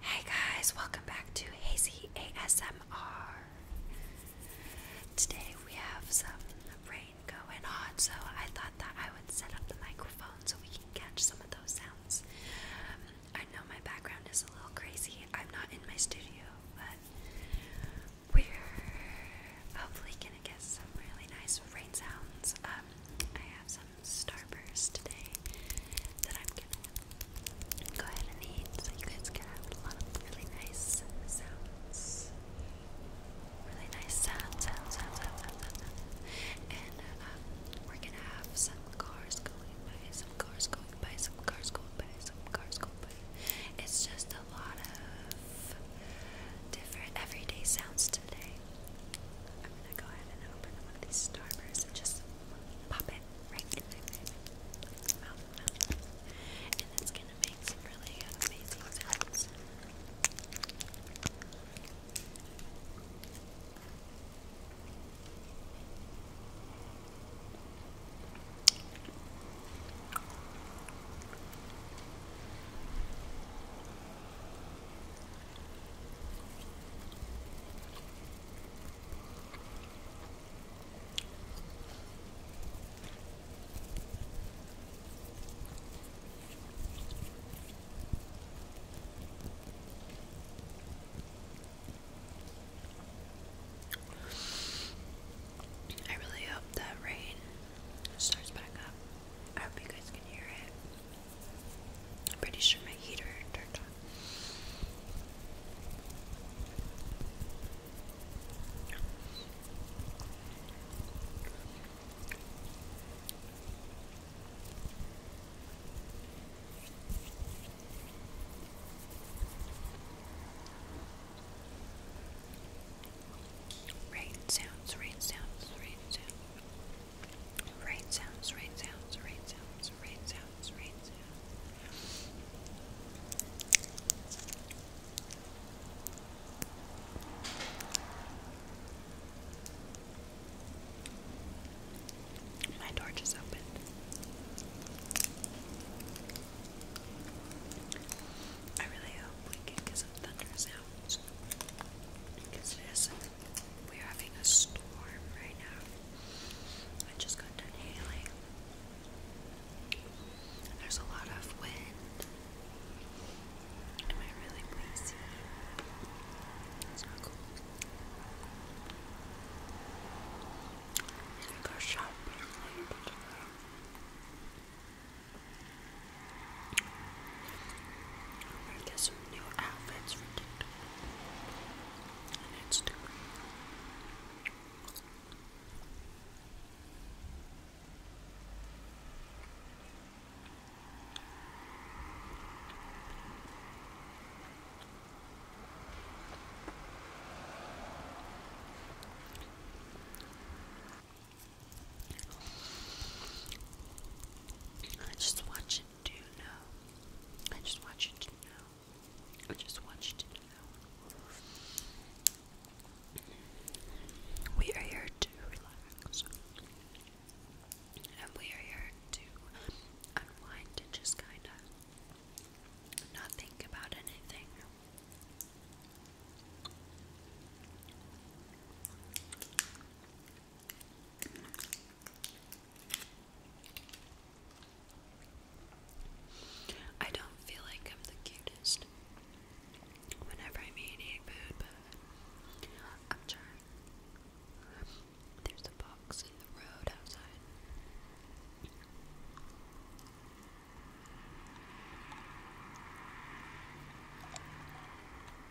Hey guys, welcome back to Hazy ASMR. Today we have some rain going on, so I thought that I would set up the microphone so we can catch some of those sounds. Um, I know my background is a little crazy, I'm not in my studio, but we're hopefully gonna get some really nice rain sounds. Um, I have some Starburst today that I'm gonna go ahead and eat so you guys can have a lot of really nice sounds. Really nice sounds, sounds, sounds, sounds, sounds, sounds. And um, we're gonna have some cars going by, some cars going by, some cars going by, some cars going by. It's just a lot of different everyday sounds today. I'm gonna go ahead and open one of these starbursts and just pop it right in my mouth, And it's gonna make really amazing sounds. I really hope that rain starts back up. I hope you guys can hear it. I'm pretty sure my heater turned on. Rain sounds, rain sounds, rain sounds. Right sounds, right sounds, right sounds, right sounds, right sounds. My torch is open. I really hope we get some thunder sounds because it is something we're having a storm right now. I just got done hailing. There's a lot of wind. Am I really lazy? It's not cool. I go shopping later I'm gonna get some new outfits for TikTok and Instagram. I just want you to know. I just want you to know. I just want you to know. We are here to relax. And we are here to unwind and just kind of not think about anything. I don't feel like I'm the cutest whenever I'm eating food, I'm trying. There's a box in the road outside.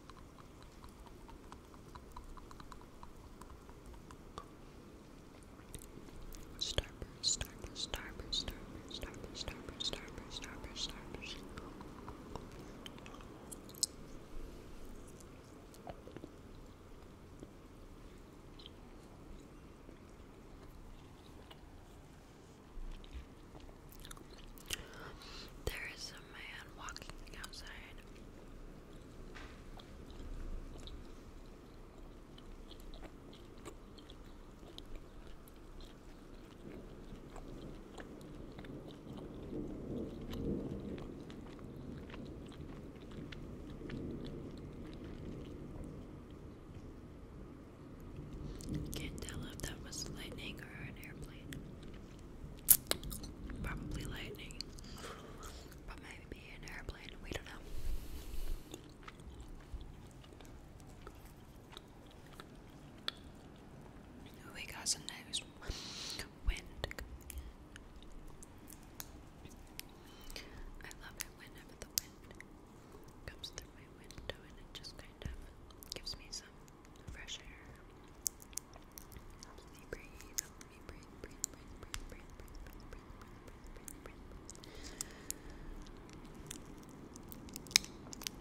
Starburst, starburst, starburst, starburst, starburst, starburst, starburst, starburst, There is some man Can't tell if that was lightning or an airplane. Probably lightning. But maybe an airplane, we don't know. We got some news. Wind. I love it whenever the wind comes through my window and it just kind of gives me some fresh air. Helps me breathe, helps me breathe, breathe, breathe, breathe, breathe, breathe, breathe, breathe,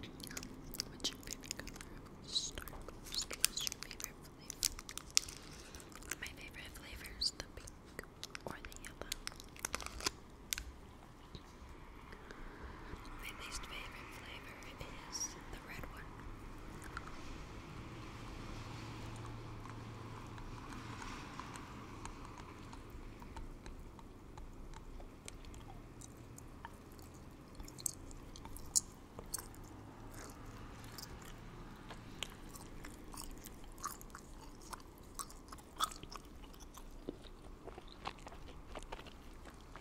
breathe, breathe, breathe. What's your favorite color? Start What's your favorite flavor? My favorite flavor is the pink or the yellow. My least favorite flavor is the red one.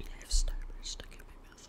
I have starburst stuck in my mouth.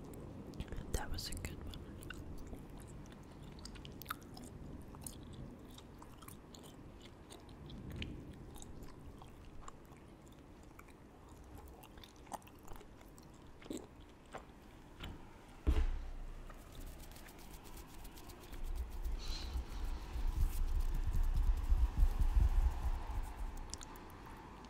That was a good one.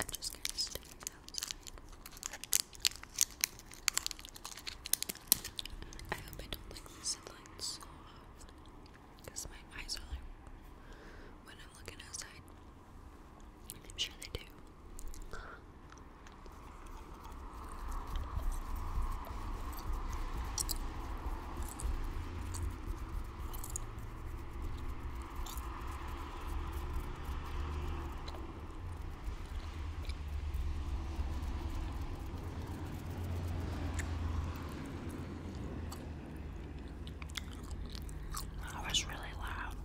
I'm just gonna stick it I hope I don't like the sunlight so Because my eyes are like when I'm looking outside. I'm sure they do. That was really loud.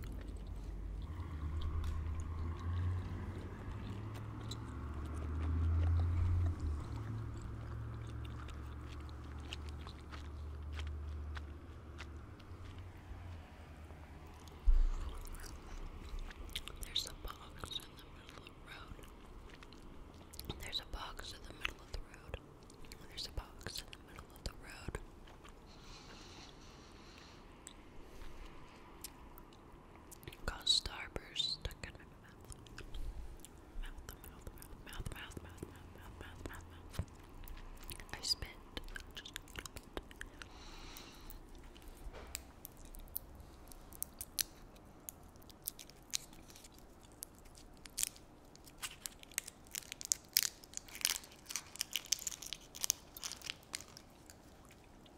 There's a box in the middle of the road. There's a box in the middle of the road. There's a box in the middle of the road. Cause starburst stuck in my mouth. Mouth, mouth, mouth, mouth, mouth, mouth, mouth, mouth, mouth, mouth. I spit.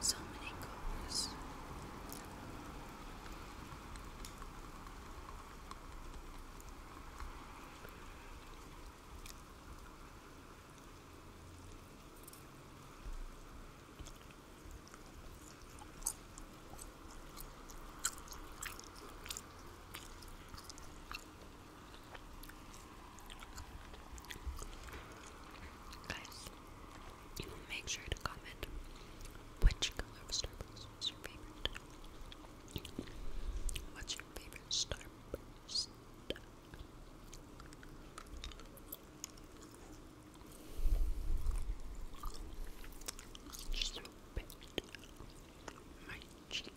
So many colors. Wow. Guys, you make sure to comment which color Starbucks is your favorite. What's your favorite Starbucks? Just a little bit on my cheek.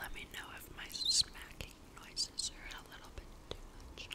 Let me know if my smacking noises are a little bit too much.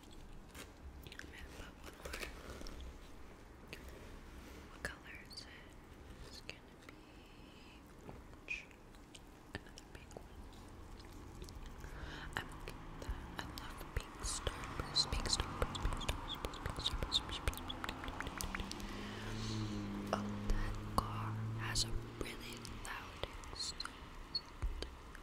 I'm What color is it? It's gonna be Another pink one. i love pink pink starburst, pink starburst, that car has a really loud exhaust.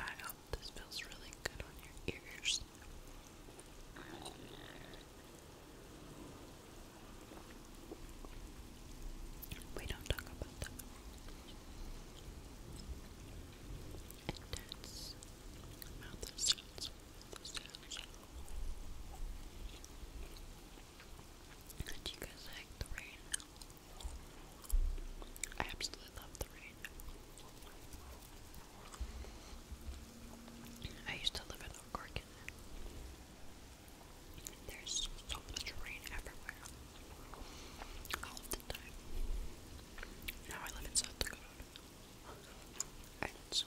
I hope this feels really good on your ears. We don't talk about that. Intense mouth sounds. sounds. Do you guys like the rain? I absolutely love the rain. I used to live in Oak Park there's so much rain everywhere. All the time. Now I live in South it's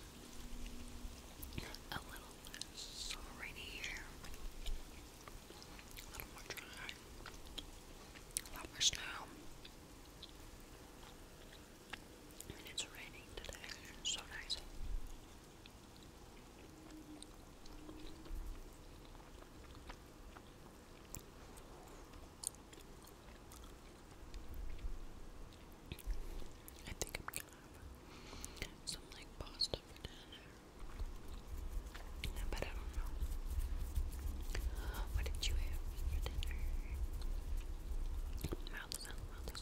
a little less rainy here. A little more dry. A lot more snow. And it's raining today. It's so nice. I think I'm gonna have some like pasta for dinner. But I don't know. What did you have for dinner? Mouth is mouth is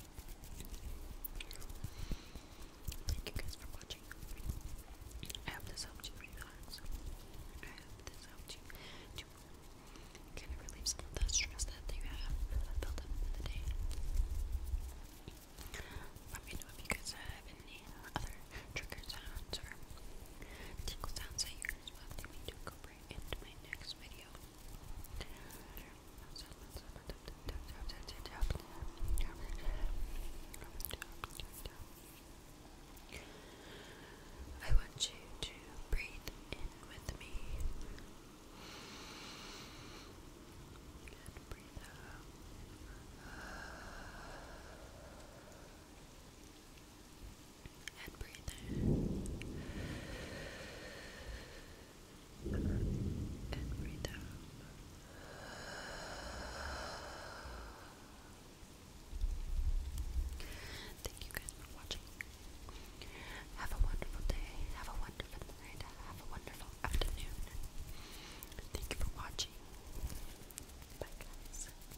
Thank you guys for watching. I hope this helped you relax. I hope this helped you to kind of relieve some of the stress that, you have built up for the day. Let me know if you guys have any other trigger or tickle sounds that you guys want me to incorporate into my next video. I want you to breathe in with me and breathe out and breathe in and breathe out. Thank you guys for watching. Have a wonderful day. Have a wonderful night. Have a wonderful afternoon. Thank you for watching. Bye, guys.